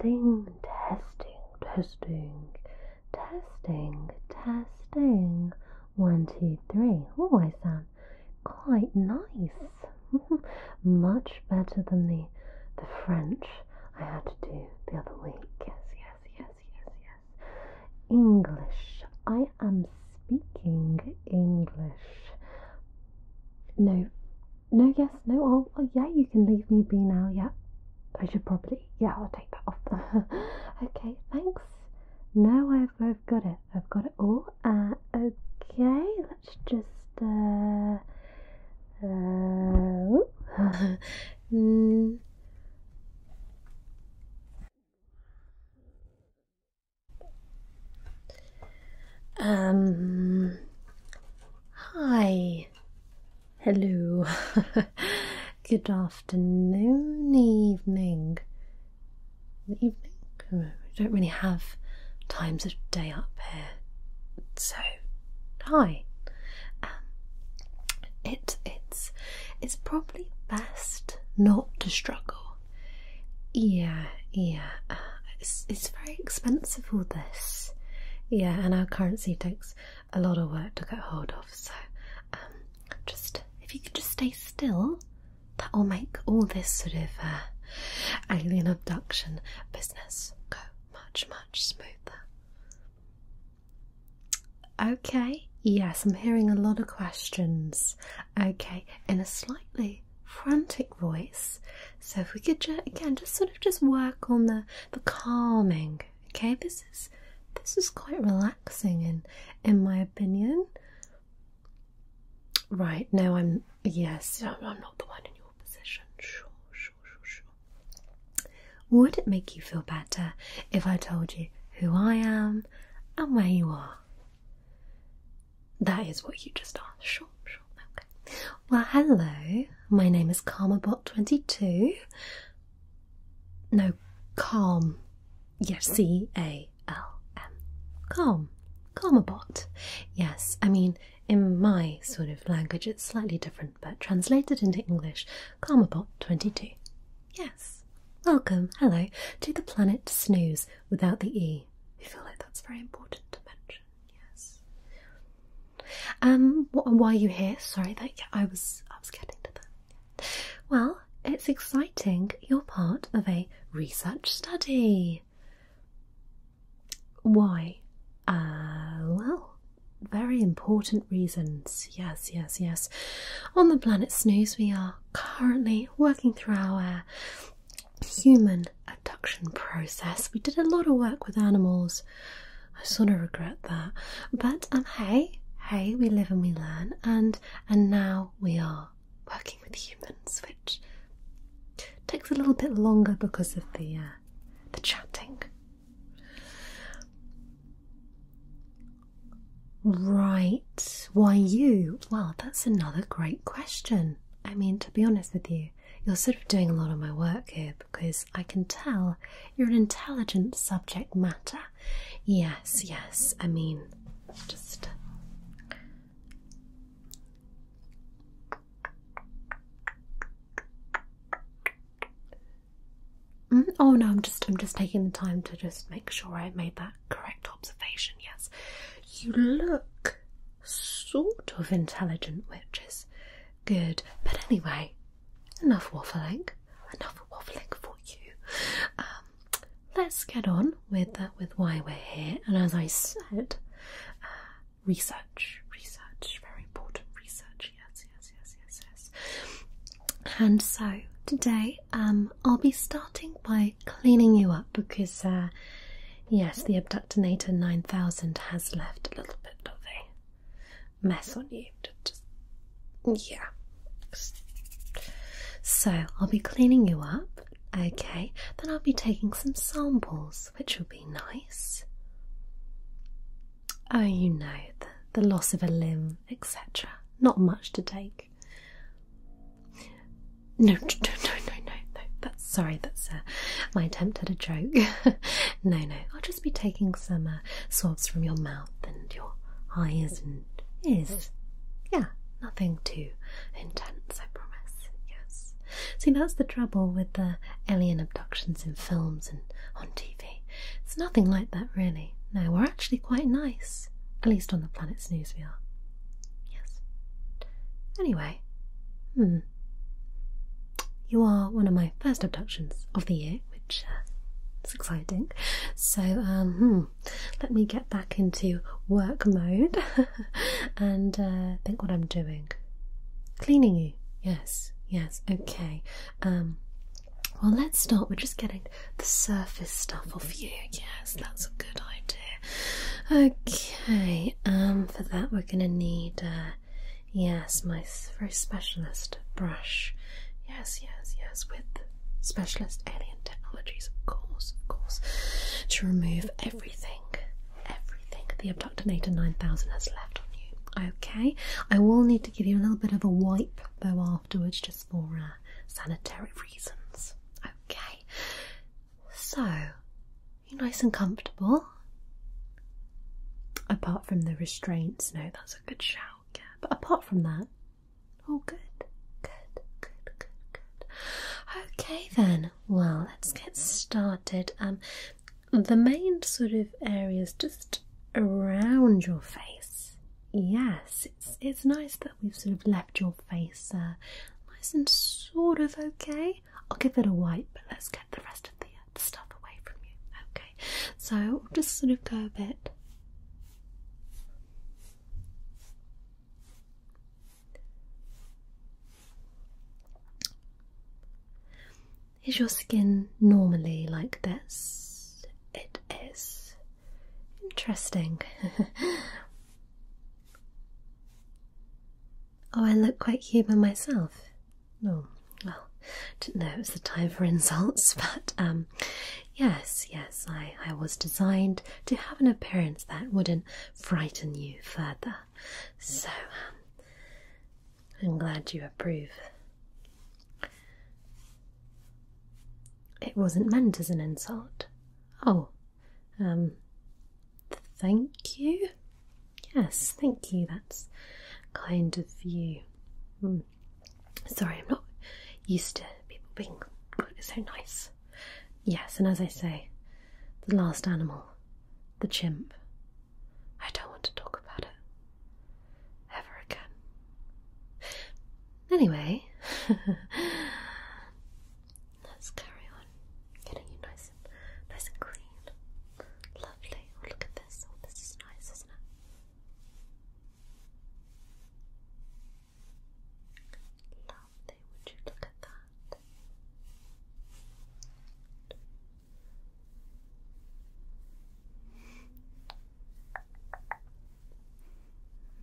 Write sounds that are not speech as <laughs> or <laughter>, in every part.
testing, testing, testing, testing, testing. One, two, three. Oh, I sound quite nice. <laughs> Much better than the the French I had to do the other week. Yes, yes, yes, yes, yes. English. I am speaking English. No, no, yes, no, oh, oh, yeah, you can leave me be now, yeah. I should probably, yeah, I'll take that off. <laughs> okay, thanks. No, I've, I've got it, I've got it all. Uh, okay, let's just, uh, uh, <laughs> mm. Um, hi. Hello. <laughs> Good afternoon, evening. Evening? We don't really have times of day up here. So, hi. Um, it it's it's probably best not to struggle yeah, yeah. it's, very expensive, all this. Yeah, and our currency takes a lot of work to get hold of, so um, just if you could just stay still, that will make all this sort of uh, alien abduction business go much, much smoother. Okay, yes, I'm hearing a lot of questions. Okay, in a slightly frantic voice. So if we could again just sort of just work on the the calming. Okay, this is this is quite relaxing in in my opinion. Right now I'm yes I'm not the one in your position. Sure, sure, sure, sure. Would it make you feel better if I told you who I am and where you are? That is what you just asked. Sure, sure. Okay. Well, hello. My name is Calmabot 22 No, Calm. Yes, C A L M. Calm. Calmabot. Yes, I mean, in my sort of language, it's slightly different, but translated into English, Calmabot 22 Yes. Welcome, hello, to the planet Snooze without the E. I feel like that's very important to mention. Yes. Um. why are you here? Sorry, that I was I was getting to that. Well, it's exciting. You're part of a research study. Why? Uh, well, very important reasons. Yes, yes, yes. On the planet Snooze, we are currently working through our human abduction process. We did a lot of work with animals. I sort of regret that. But um hey, hey, we live and we learn and and now we are working with humans, which takes a little bit longer because of the uh, the chatting. Right. Why you? Well, that's another great question. I mean, to be honest with you, you're sort of doing a lot of my work here because I can tell you're an intelligent subject matter. Yes, yes. I mean, just. Mm, oh no, I'm just I'm just taking the time to just make sure I made that correct observation. Yes. You look sort of intelligent, witches. good. But anyway, enough waffling. Enough waffling for you. Um, let's get on with uh, with why we're here. And as I said, uh, research, research, very important research. Yes, yes, yes, yes, yes. And so today um, I'll be starting by cleaning you up because, uh, yes, the Abductinator 9000 has left a little bit of a mess on you. yeah. So I'll be cleaning you up, okay? Then I'll be taking some samples, which will be nice. Oh, you know, the loss of a limb, etc. Not much to take, no, no, no, no, no, no. That's sorry. That's uh, my attempt at a joke. <laughs> no, no. I'll just be taking some uh, swabs from your mouth and your eyes and ears. Yeah, nothing too intense. I promise. Yes. See, that's the trouble with the alien abductions in films and on TV. It's nothing like that, really. No, we're actually quite nice. At least on the planet's news, Yes. Anyway, hmm. You are one of my first abductions of the year, which uh, is exciting. So, um, hmm, let me get back into work mode <laughs> and uh, think what I'm doing. Cleaning you, yes, yes, okay. Um, well, let's start. We're just getting the surface stuff off you. Yes, that's a good idea. Okay, um, for that we're gonna need, uh, yes, my very specialist brush. Yes, yes, yes, with specialist alien technologies, of course, of course, to remove everything, everything the Abductinator 9000 has left on you. Okay, I will need to give you a little bit of a wipe though afterwards just for uh, sanitary reasons. Okay, so you nice and comfortable. Apart from the restraints, no, that's a good shout. Yeah, but apart from that, all good, good, good, good, good. Okay, then. Well, let's get started. Um, the main sort of areas just around your face. Yes, it's nice that we've sort of left your face uh, nice and sort of okay. I'll give it a wipe, but let's get the rest of the, the stuff away from you. Okay, so I'll just sort of go a bit. Is your skin normally like this? It is. Interesting. <laughs> oh, I look quite human myself. Oh, well, didn't know it was the time for <laughs> insults, but um, yes, yes, I, I was designed to have an appearance that wouldn't frighten you further. So, um, I'm glad you approve. It wasn't meant as an insult. Oh, um, thank you. Yes, thank you. That's kind of you. Hmm. Sorry, I'm not used to people being so nice. Yes, and as I say, the last animal, the chimp. I don't want to talk about it ever again. Anyway, <laughs> let's carry on getting you nice nice and clean. Lovely. Oh, look at this. Oh, this is nice, isn't it? Lovely. Would you look at that?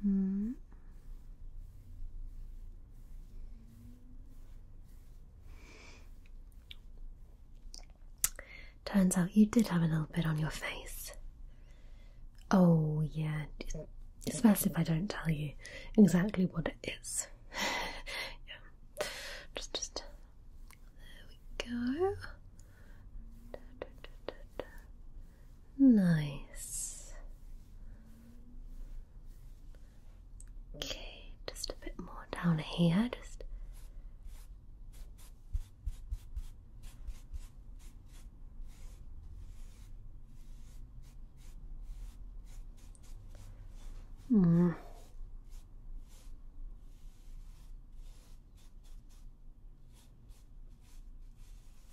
Hmm. Turns out you did have a little bit on your face. Oh, yeah, it's best if I don't tell you exactly what it is. <laughs> yeah, just, there we go. Nice. Okay, just a bit more down here. Just Hmm.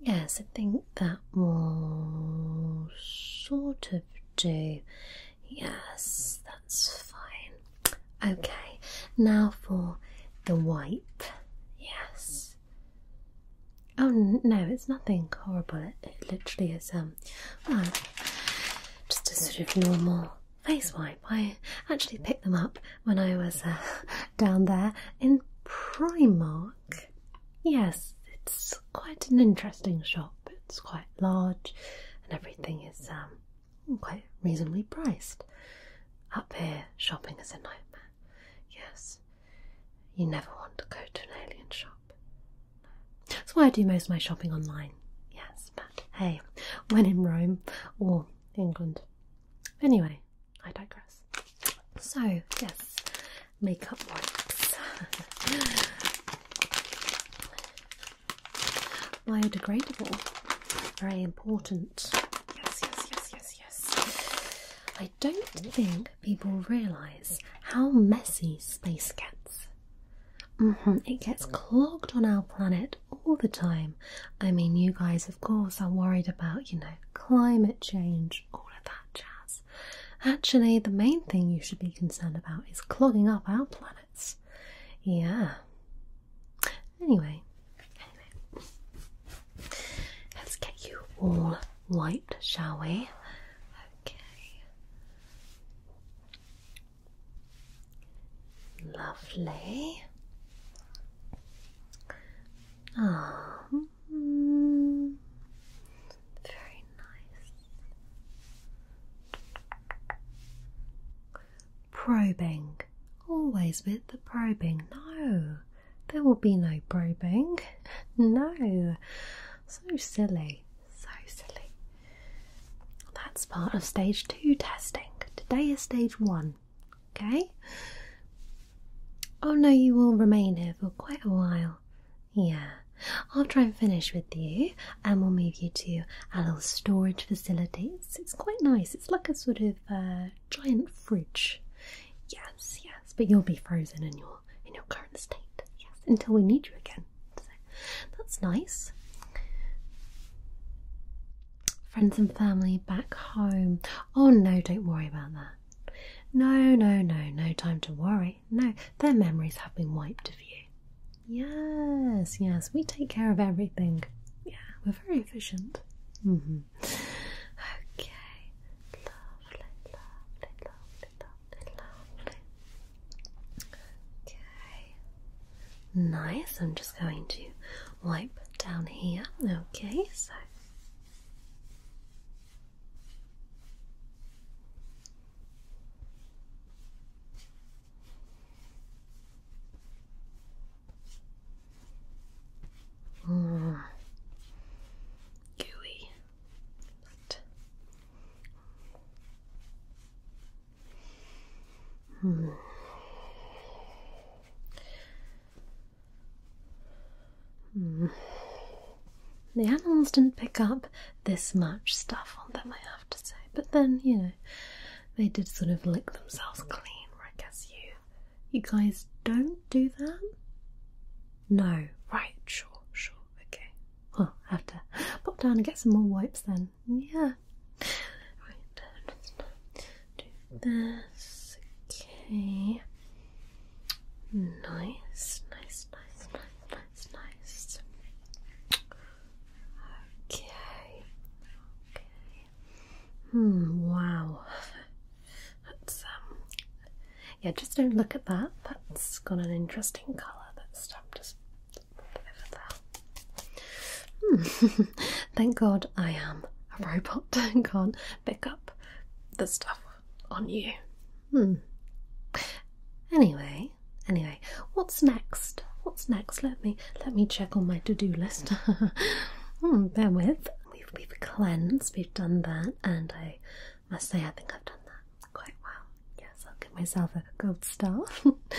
Yes, I think that will sort of do. Yes, that's fine. Okay, now for the wipe. Yes. Oh no, it's nothing horrible. It, literally is um, just a sort of normal face wipe. I actually picked them up when I was uh, <laughs> down there in Primark Yes, it's quite an interesting shop. It's quite large and everything is um, quite reasonably priced. Up here, shopping is a nightmare. Yes, you never want to go to an alien shop. That's why I do most of my shopping online. Yes, but hey, when in Rome or England. Anyway, I digress. So, yes, makeup wipes. <laughs> Biodegradable, very important. Yes, yes, yes, yes, yes. I don't think people realise how messy space gets. -hmm. It gets clogged on our planet all the time. I mean, you guys, of course, are worried about, you know, climate change, all of that jazz. Actually, the main thing you should be concerned about is clogging up our planets. Yeah. Anyway, let's get you all wiped, shall we? Okay. Lovely. Ah, Mm-hmm. very nice. Probing. Always with the probing. No, there will be no probing. <laughs> No. So silly. So silly. That's part of stage two testing. Today is stage one. Okay? Oh no, you will remain here for quite a while. Yeah. After I finish with you, and we'll move you to our little storage facilities. It's quite nice. It's like a sort of uh, giant fridge. Yes, yes. But you'll be frozen in your in your current state. Yes, until we need you again. that's nice. Friends and family back home. Oh no, don't worry about that. No, no, no, no time to worry. No, their memories have been wiped of you. Yes, yes, we take care of everything. Yeah, we're very efficient. Mm-hmm. Okay, lovely, lovely, lovely, lovely, lovely. Okay, nice. I'm just going to wipe down here. Okay, so Mm. Gooey. But. Hmm. The animals didn't pick up this much stuff on them, I have to say. But then, you know, they did sort of lick themselves clean. I guess you, you guys don't do that. No, right? Sure, sure. Okay. Well, I have to pop down and get some more wipes then. Yeah this. Okay. Nice, nice, nice, nice, nice, nice. Okay. Okay. Hmm, wow. That's um yeah, just don't look at that. That's got an interesting colour. That's stuff just <laughs> Thank God I am a robot <laughs> and can't pick up the stuff on you. Hmm. Anyway, anyway, what's next? What's next? Let me let me check on my to-do list. <laughs> hmm, bear with. We've we've cleansed, we've done that, and I must say I think I've done that quite well. Yes, I'll give myself a gold star.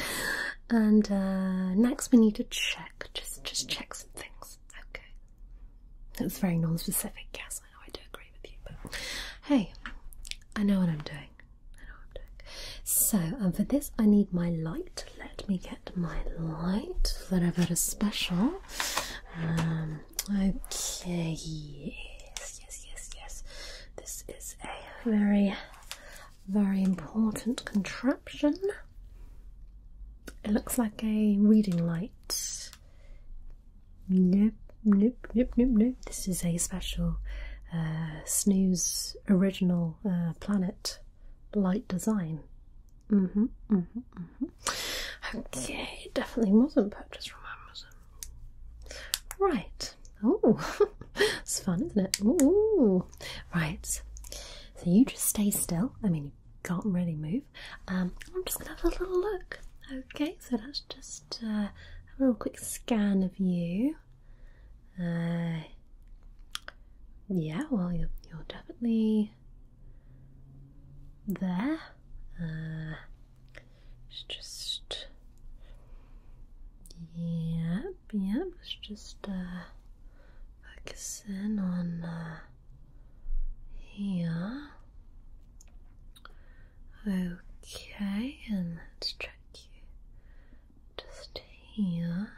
<laughs> and uh, next we need to check. Just just check some things. Okay. It's very non-specific. Yes, I know I do agree with you, but hey, I know what I'm doing. I know what I'm doing. So um, for this, I need my light. Let me get my light that I've got a special. Um, okay. Yes, yes, yes, yes. This is a very, very important contraption. It looks like a reading light. Nope, nope, nope, nope, nope. This is a special uh, Snooze original uh, planet light design. Mm-hmm, mm-hmm, mm-hmm. Okay, it definitely wasn't purchased from Amazon. Right. Oh, <laughs> it's fun, isn't it? Ooh. Right. So you just stay still. I mean, you can't really move um, I'm just going to have a little look. Okay, so that's just uh, a little quick scan of you. Uh, yeah, well, you're, definitely there. Uh, it's just. Yep, yep. let just uh, on uh, here. Okay, and let's check you just here.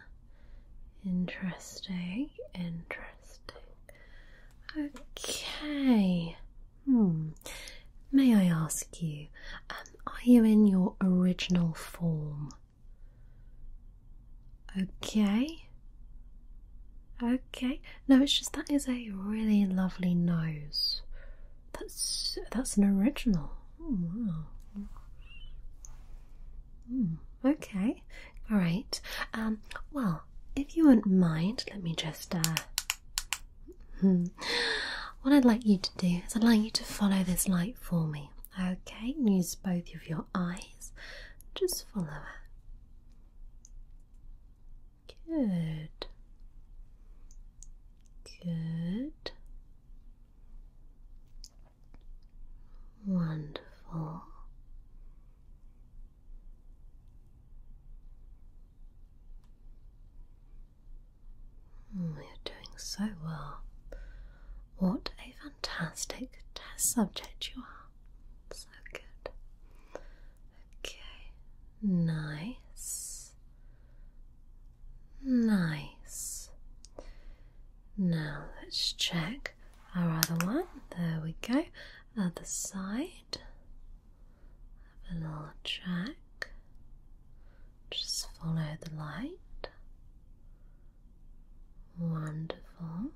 Interesting, interesting. Okay. Hmm. May I ask you, um, are you in your original form? Okay, Okay. No, it's just that is a really lovely nose. That's that's an original. Oh, wow. Hmm. okay. All right. Um, well, if you wouldn't mind, let me just. Uh, hmm. what I'd like you to do is I'd like you to follow this light for me. Okay. Use both of your eyes. Just follow it. Good. Good. Wonderful. Mm, you're doing so well. What a fantastic test subject you are so good. Okay, nice, nice. Now let's check our other one. There we go. Other side. Have a little check. Just follow the light. Wonderful.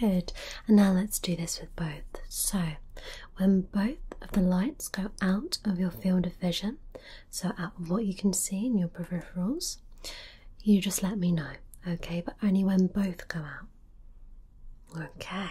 Good. And now let's do this with both. So, when both of the lights go out of your field of vision, so out of what you can see in your peripherals, you just let me know, okay? But only when both go out. Okay.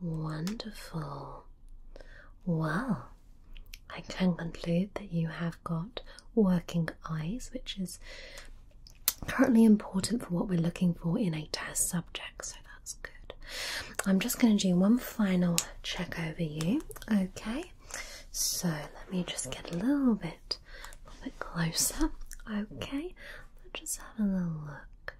Wonderful. Well, I can conclude that you have got working eyes, which is currently important for what we're looking for in a test subject, so that's good. I'm just going to do one final check over you, okay? So let me just get a little bit a little bit closer. Okay, let's just have a little look.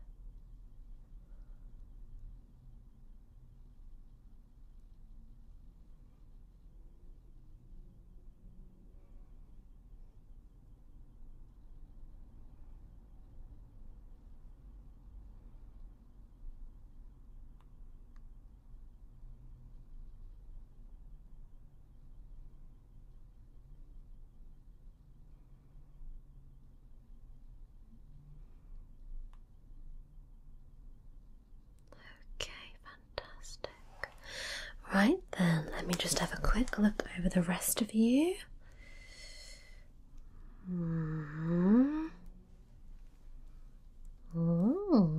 Okay, fantastic. Right then, let me just have a quick look over the rest of you. Mm -hmm. -hmm.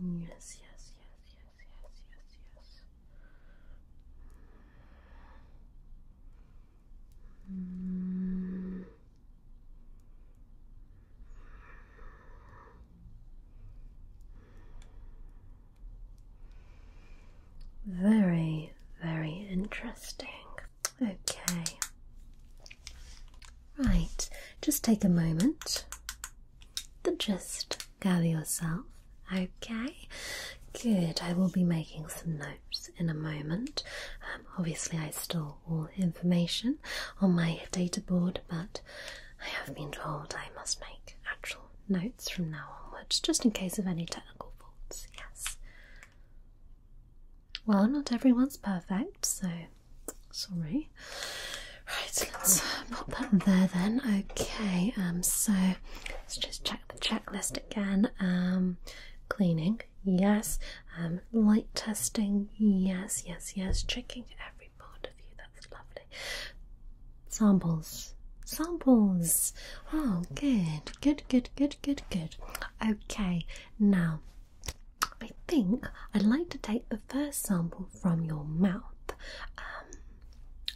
Yes, yes, yes, yes, yes, yes, yes. Very, very interesting. Okay. Right, just take a moment to just gather yourself. Okay, good. I will be making some notes in a moment. Um, obviously, I store all information on my data board, but I have been told I must make actual notes from now onwards, just in case of any technical faults. Yes. Well, not everyone's perfect, so sorry. Right, let's pop that there then. Okay, um, so let's just check the checklist again. Um, cleaning, yes. Um, light testing, yes, yes, yes. Checking every part of you, that's lovely. Samples, samples. Oh, good, good, good, good, good, good. Okay, now I think I'd like to take the first sample from your mouth. Um,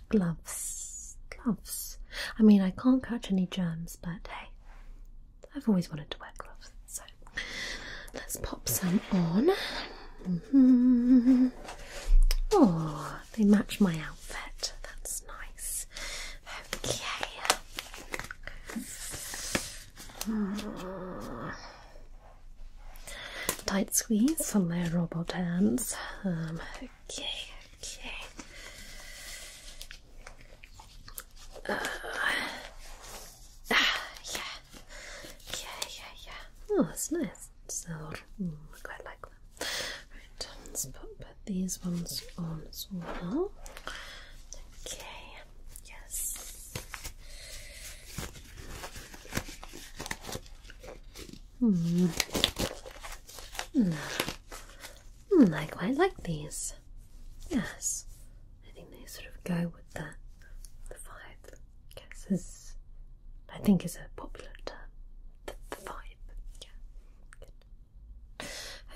gloves, gloves. I mean, I can't catch any germs, but hey, I've always wanted to wear gloves, so let's pop some on. Mm-hmm. Oh, they match my outfit. That's nice. Okay. Tight squeeze on my robot hands. Um, okay, okay. Uh, ah, yeah, yeah, yeah, Oh, that's nice. So, mm, I quite like them. Right, let's put these ones on as well. Okay, yes. Hmm. hmm I quite like these. Yes, I think they sort of go with the the vibe. I I think is a popular term. The, the vibe. Yeah.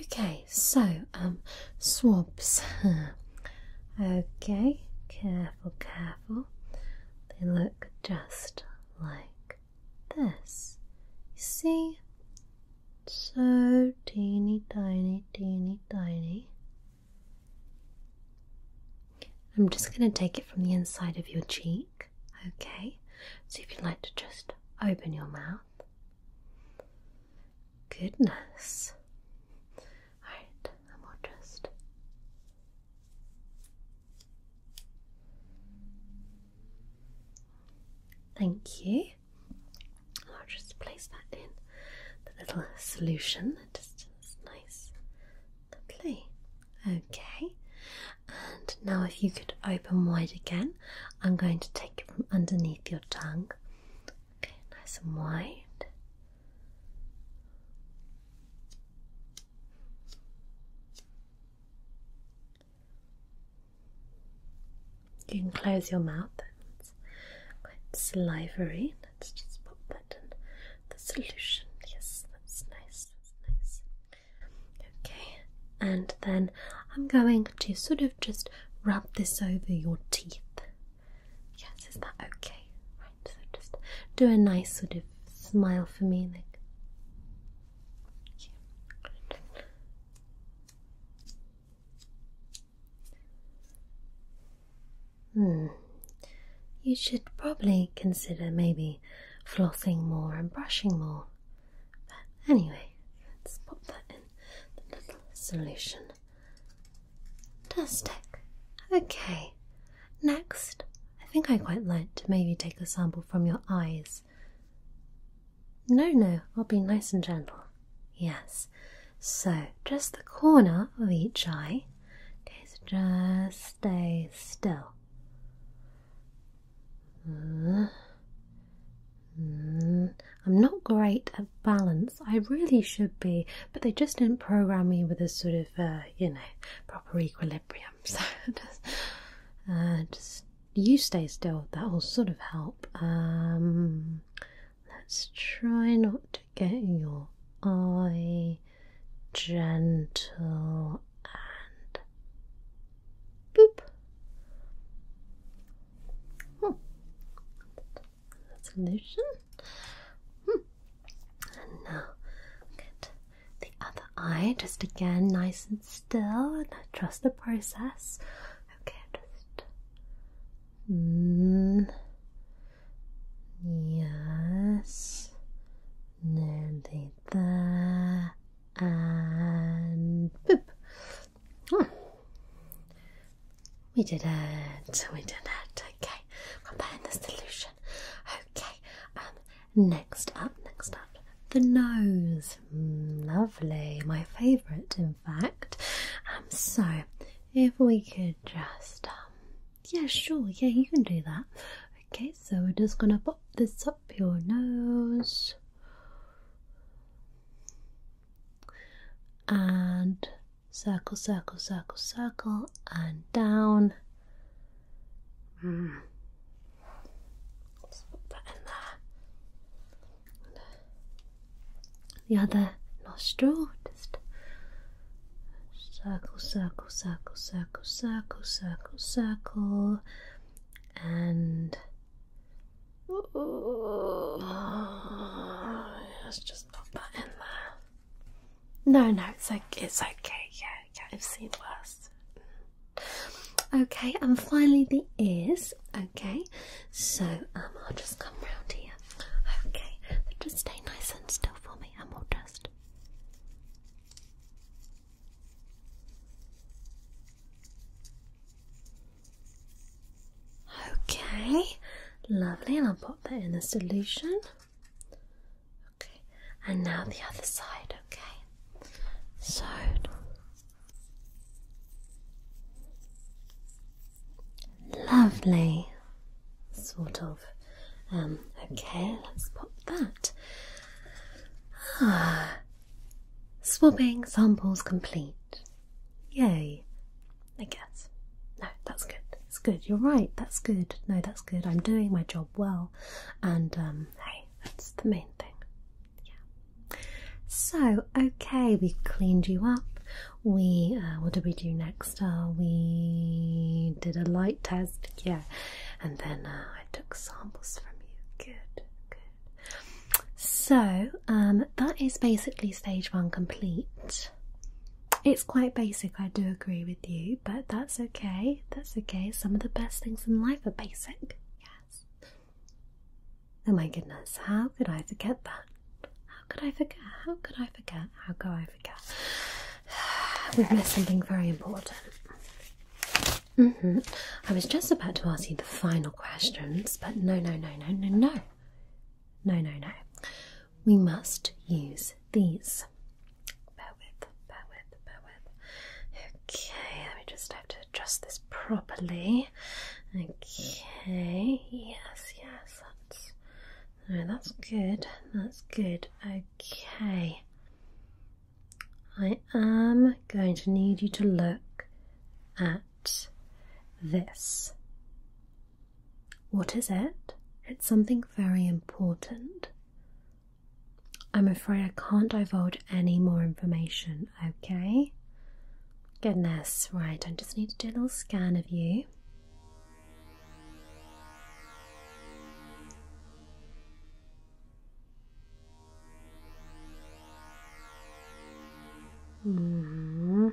Okay, so um swabs. <laughs> okay, careful, careful. They look just like this. You see? So teeny tiny, teeny tiny. I'm just going to take it from the inside of your cheek, okay? So if you'd like to just open your mouth goodness. Alright, and we'll just Thank you. I'll just place that in the little solution. Just nice. Lovely. Okay. And now if you could open wide again, I'm going to take it from underneath your tongue nice and wide. You can close your mouth, it's quite slivery. Let's just pop that in the solution. Yes, that's nice, that's nice. Okay, and then I'm going to sort of just rub this over your teeth. Yes, is that okay? Right, so just do a nice sort of smile for me, like. Hmm. you. should probably consider maybe flossing more and brushing more. But anyway, let's pop that in the little solution. Fantastic. Okay, next, I think I quite like to maybe take a sample from your eyes. No, no, I'll be nice and gentle. Yes, so just the corner of each eye. Please just stay still. Uh, Hmm, I'm not great at balance. I really should be, but they just didn't program me with a sort of, uh, you know, proper equilibrium. <laughs> So uh, just, you stay still. That will sort of help. Um, let's try not to get your eye gentle and boop. Hmm solution. Hmm. And now, get the other eye, just again, nice and still, and trust the process. Okay, just. Mm, yes, nearly there, and boop. Hmm. We did it. We did it. Okay. Comparing the solution. Okay. Um. Next up. Next up. The nose. Hmm, lovely. My favourite, in fact. Um. So, if we could just. Um, yeah. Sure. Yeah. You can do that. Okay. So we're just gonna pop this up your nose and circle, circle, circle, circle, and down. Mm. put that in there. The other nostril, just circle, circle, circle, circle, circle, circle, circle, and Let's just pop that in there. No, no, it's like it's okay. Yeah, yeah, I've seen worse. Okay, and finally the ears. Okay, so um, I'll just come round here. Okay, just stay nice and still for me, and we'll just. Okay, lovely, and I'll pop that in the solution. Okay, and now the other side, okay? So lovely, sort of. Um, okay, let's pop that. Ah, swabbing samples complete. Yay, I guess. No, that's good. It's good. You're right. That's good. No, that's good. I'm doing my job well, and um, hey, that's the main thing. Yeah. So okay, we cleaned you up. We uh, what did we do next? Uh, we did a light test. Yeah, and then uh, I took samples from you. Good, good. So um, that is basically stage one complete. It's quite basic, I do agree with you, but that's okay. That's okay. Some of the best things in life are basic. Yes. Oh my goodness, how could I forget that? How could I forget? How could I forget? How could I forget? <sighs> We've missed something very important. Mm-hmm. I was just about to ask you the final questions, but no, no, no, no, no, no. No, no, no. We must use these. Bear with, bear with, bear with. Okay, let me just have to adjust this properly. Okay, yes, yes, that's that's good, that's good. Okay. I am going to need you to look at this. What is it? It's something very important. I'm afraid I can't divulge any more information, okay? Goodness, right, I just need to do a little scan of you. -hmm.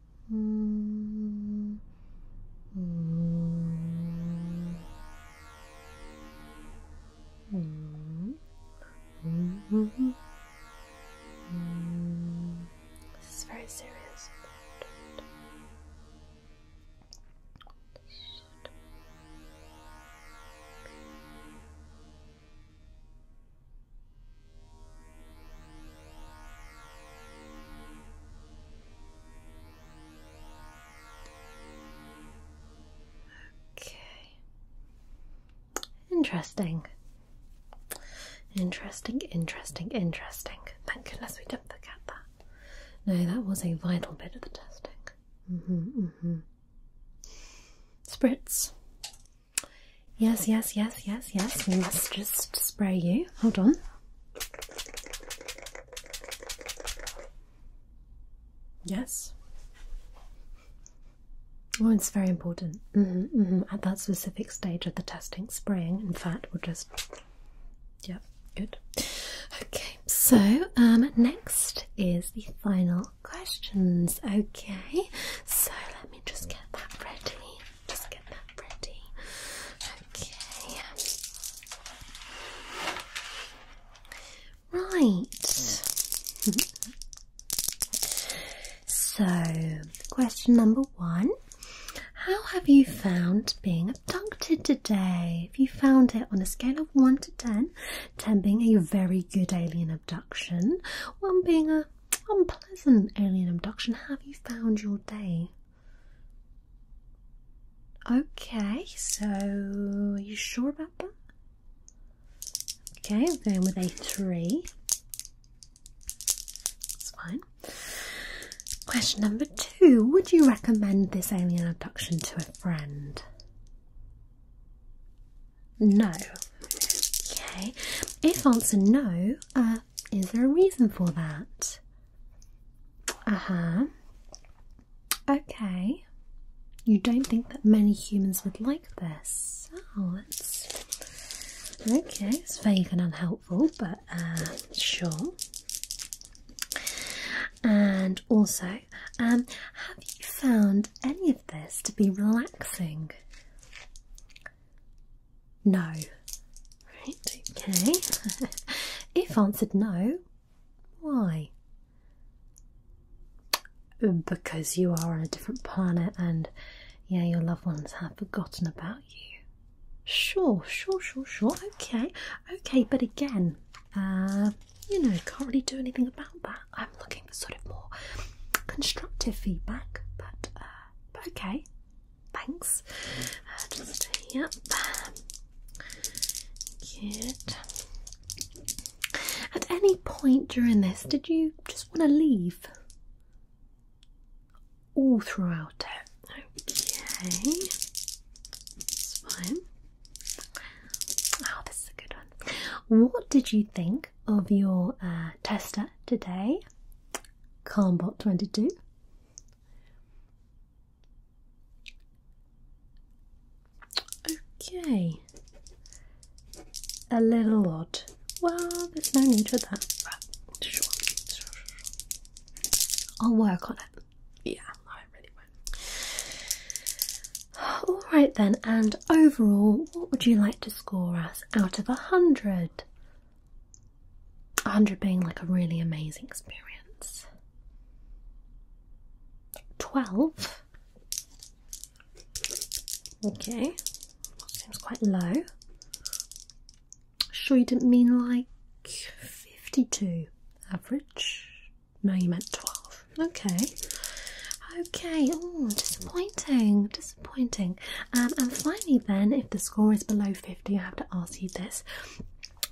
This is very serious. Okay. Interesting. Interesting, interesting, interesting. Thank goodness we do not forget that. No, that was a vital bit of the testing. Mm-hmm, mm-hmm. Spritz. Yes, yes, yes, yes, yes. We must just spray you. Hold on. Yes. Well, it's very important. Mm-hmm, mm-hmm. At that specific stage of the testing, spraying, in fact, we'll just. Yep, good. Okay, so um, next is the final questions. Okay, so let me just get that ready. Just get that ready. Okay. Right. <laughs> so, question number one How have you found being abducted today? If you found it on a scale of 1 to 10? 10 being a very good alien abduction, 1 being a unpleasant alien abduction. How have you found your day? Okay, so are you sure about that? Okay, okay, with a three. That's fine. Question number two Would you recommend this alien abduction to a friend? No. Okay. If answer no, uh, is there a reason for that? Uh-huh. Okay. You don't think that many humans would like this. Oh, okay, it's vague and unhelpful, but uh, sure. And also, um, have you found any of this to be relaxing? No. Right, okay. <laughs> if answered no, why? Because you are on a different planet and yeah, your loved ones have forgotten about you. Sure, sure, sure, sure. Okay, okay, but again, uh, you know, can't really do anything about that. I'm looking for sort of more constructive feedback, but, uh, but okay, Thanks. Uh, yep. Good. At any point during this, did you just want to leave? All throughout it. Okay. fine. Oh, this is a good one. What did you think of your uh, tester today? Calmbot 22. Okay. A little odd. Well, there's no need for that. I'll work on it. Yeah, I really will <sighs> Alright then, and overall, what would you like to score us out of a hundred? 100 being like a really amazing experience. 12. Okay, seems quite low. Sure, you didn't mean like 52 average? No, you meant 12. Okay, okay. Oh, disappointing, disappointing. Um, and finally, then, if the score is below 50, I have to ask you this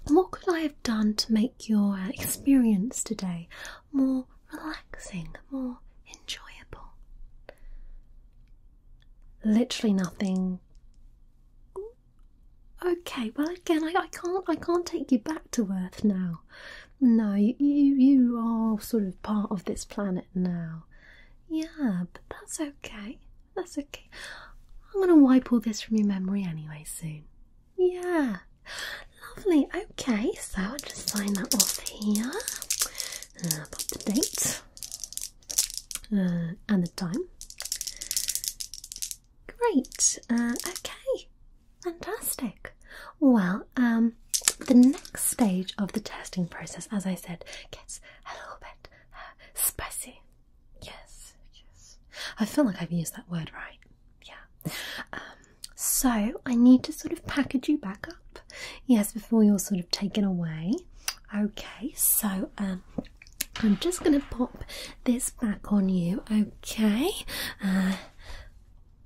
what could I have done to make your uh, experience today more relaxing, more enjoyable? Literally nothing. Okay, well again, I, can't, I can't take you back to Earth now. No, you are sort of part of this planet now. Yeah, but that's okay. That's okay. I'm going to wipe all this from your memory anyway soon. Yeah. Lovely. Okay, so I'll just sign that off here. Uh, pop the date uh, and the time. Great. Uh, okay. Fantastic. Well, um, the next stage of the testing process, as I said, gets a little bit spicy. Yes, yes. I feel like I've used that word right. Yeah. so I need to sort of package you back up. Yes, before you're sort of taken away. Okay, so I'm just going to pop this back on you. Okay. no,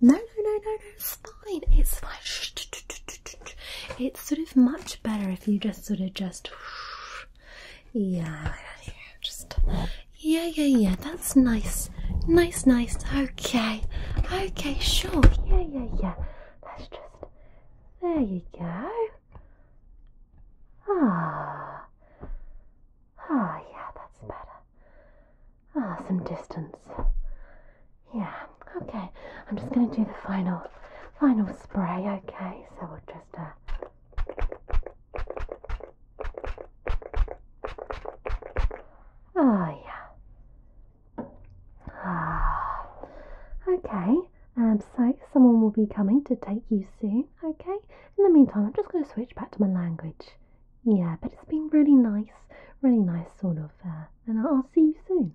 no, no, no, no. It's fine. It's fine. It's sort of much better if you just sort of just yeah, just yeah, yeah, yeah. That's nice, nice, nice. Okay, okay, sure. Yeah, yeah, yeah. Let's just there you go. Ah, ah, yeah, that's better. Ah, some distance. Yeah. Okay, I'm just gonna do the final final spray. Okay, so we'll just. Uh, oh yeah. Ah. Okay. Um. So someone will be coming to take you soon. Okay. In the meantime, I'm just going to switch back to my language. Yeah, but it's been really nice, really nice sort of, uh, and I'll see you soon.